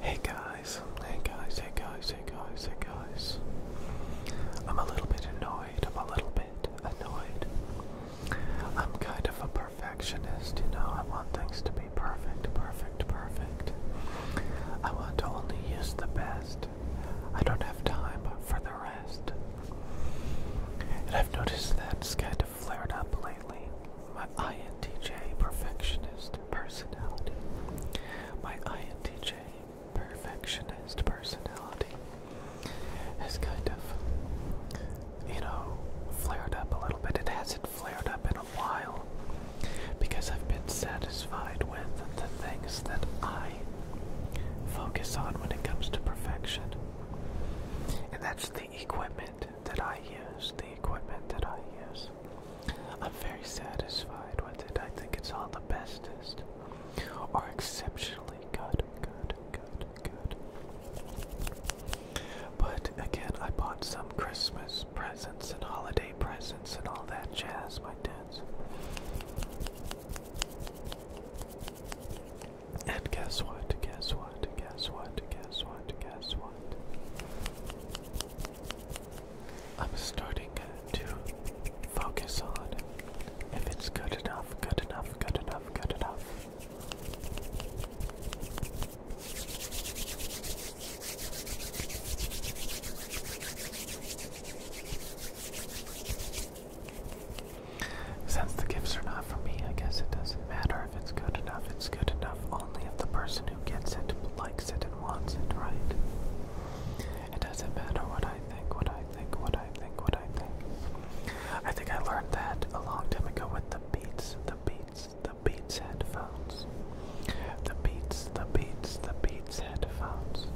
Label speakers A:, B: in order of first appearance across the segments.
A: Hey guys, hey guys, hey guys, hey guys, hey guys. I'm a little bit annoyed, I'm a little bit annoyed. I'm kind of a perfectionist, you know, I want things to be perfect, perfect, perfect. I want to only use the best. I don't have time for the rest. And I've noticed that that's kind of flared up lately. My INTJ perfectionist personality. My INTJ, perfectionist personality, has kind of, you know, flared up a little bit. It hasn't flared up in a while because I've been satisfied with the things that I focus on when it comes to perfection. And that's the equipment that I use, the equipment that I use is. I'm very satisfied with it. I think it's on the bestest. Or exceptionally good, good, good, good. But again, I bought some Christmas presents and holiday presents and all that jazz, my dad's. And guess what? Guess what? Guess what? Guess what? Guess what? I'm starting to focus on if it's good enough, good enough, good enough, good enough. Since the gifts are not for me, I guess it doesn't matter if it's good enough, it's good enough only if the person gets it, likes it, and wants it, right? It doesn't matter what I think, what I think, what I think, what I think. I think I learned that a long time ago with the Beats, the Beats, the Beats headphones. The Beats, the Beats, the Beats headphones.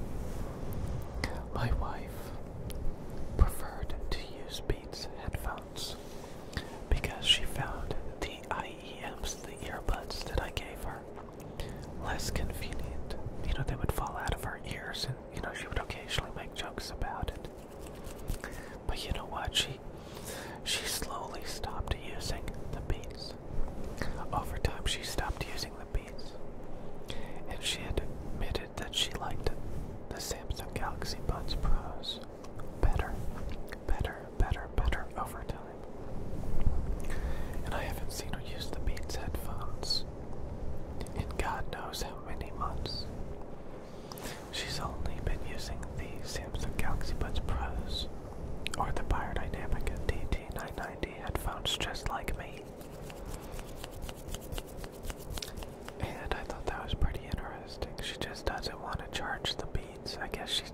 A: My wife preferred to use Beats headphones because she found the EEMs, the earbuds that I gave her, less convenient. You know, they would fall out of her ears, and you know, she would occasionally make jokes about it. But you know what? She she slowly stopped using the beats. Over time, she stopped using the beats, and she admitted that she liked the Samsung Galaxy Buds Pros better, better, better, better over time. And I haven't seen her use the Beats headphones in God knows how many months. She's only been using the Samsung Galaxy Buds Pros or the Biodynamic DT990 headphones just like me. And I thought that was pretty interesting. She just doesn't want to charge the beats. I guess she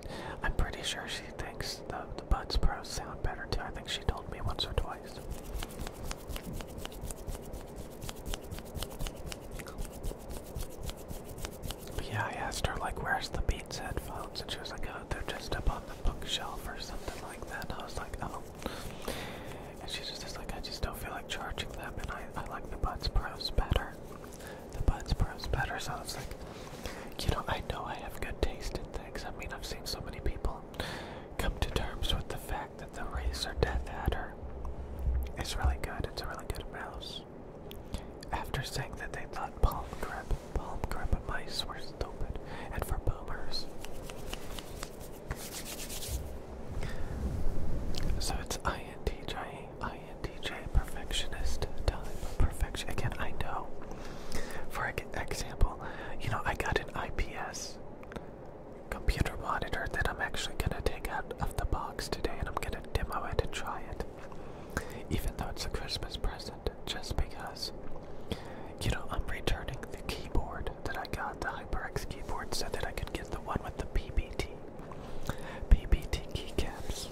A: I'm pretty sure she thinks the the Buds Pros sound better too. I think she told me once or twice. Yeah, I asked her like where's the Beats headphones and she was like, Oh, they're just up on the bookshelf or something like that. I was like, Oh and she's just like I just don't feel like charging them and I, I like the Buds Pros better the Buds Pros better. So it's like, you know, I know I have good taste in things. I mean, I've seen so many people come to terms with the fact that the Razor Death Adder is really good. It's a really good mouse. After saying that they thought palm grip, palm grip mice were stupid and for boomers. So it's INTJ INTJ perfectionist. Tell him perfection. Again, I know. For example, you know, I got an IPS computer monitor that I'm actually gonna take out of the box today and I'm gonna demo it and try it. Even though it's a Christmas present, just because. You know, I'm returning the keyboard that I got, the HyperX keyboard, so that I could get the one with the PBT. PBT keycaps.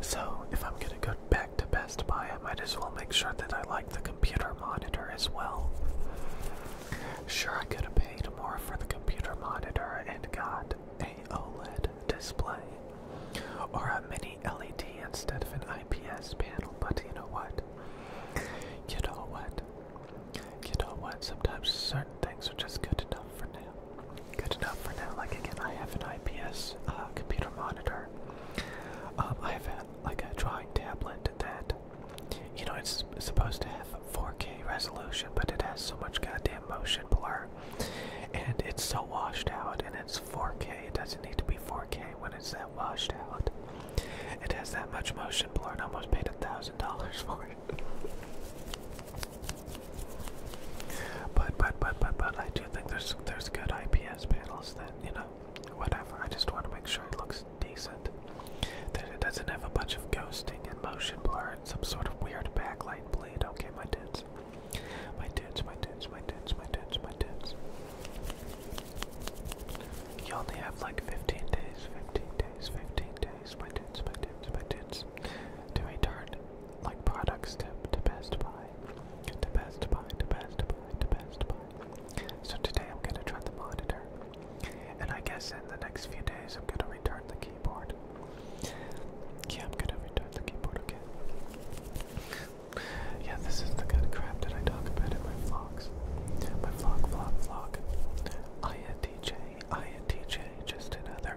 A: So, if I'm gonna go back to Best Buy, I might as well make sure that I like the computer monitor as well. Sure, I could have paid more for the computer monitor and got a OLED display or a mini LED instead of an IPS panel, but you know what? You know what? You know what? Sometimes certain things are just good enough for now good enough for now. Like again, I have an IPS uh, computer monitor. Um, I have a, like a drawing tablet that, you know, it's supposed to have 4K resolution, but it has so much goddamn motion blur, and it's so washed out, and it's 4K. It doesn't need to be 4K when it's that washed out. It has that much motion blur, and I almost paid a thousand dollars for it. But but but but but I do think there's there's good IPS panels that you know whatever. I just want to make sure it looks decent. That it doesn't have a bunch of ghosting and motion blur and some sort of weird backlight bleed. Okay, my dudes. My dudes, my dudes, my dudes, my dudes, my dudes. You only have like 15 days, 15 days, 15 days, my dudes, my dudes, my dudes to a like products to best buy, to best buy, to best buy, to best buy. So today I'm gonna try the monitor, and I guess in the next few days I'm gonna return the keyboard. Yeah, I'm gonna return the keyboard again. Yeah, this is the kind crap that I talk about in my vlogs. My vlog, vlog, vlog. INTJ, just another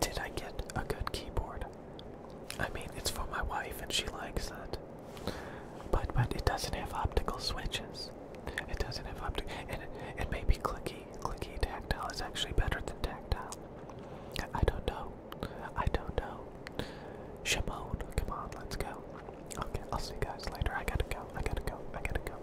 A: Did I get a good keyboard? I mean, it's for my wife and she likes it. But but it doesn't have optical switches. It doesn't have optical, and it, it may be clicky. Clicky tactile is actually better than tactile. I don't know. I don't know. Shimon, come on, let's go. Okay, I'll see you guys later. I gotta go. I gotta go. I gotta go.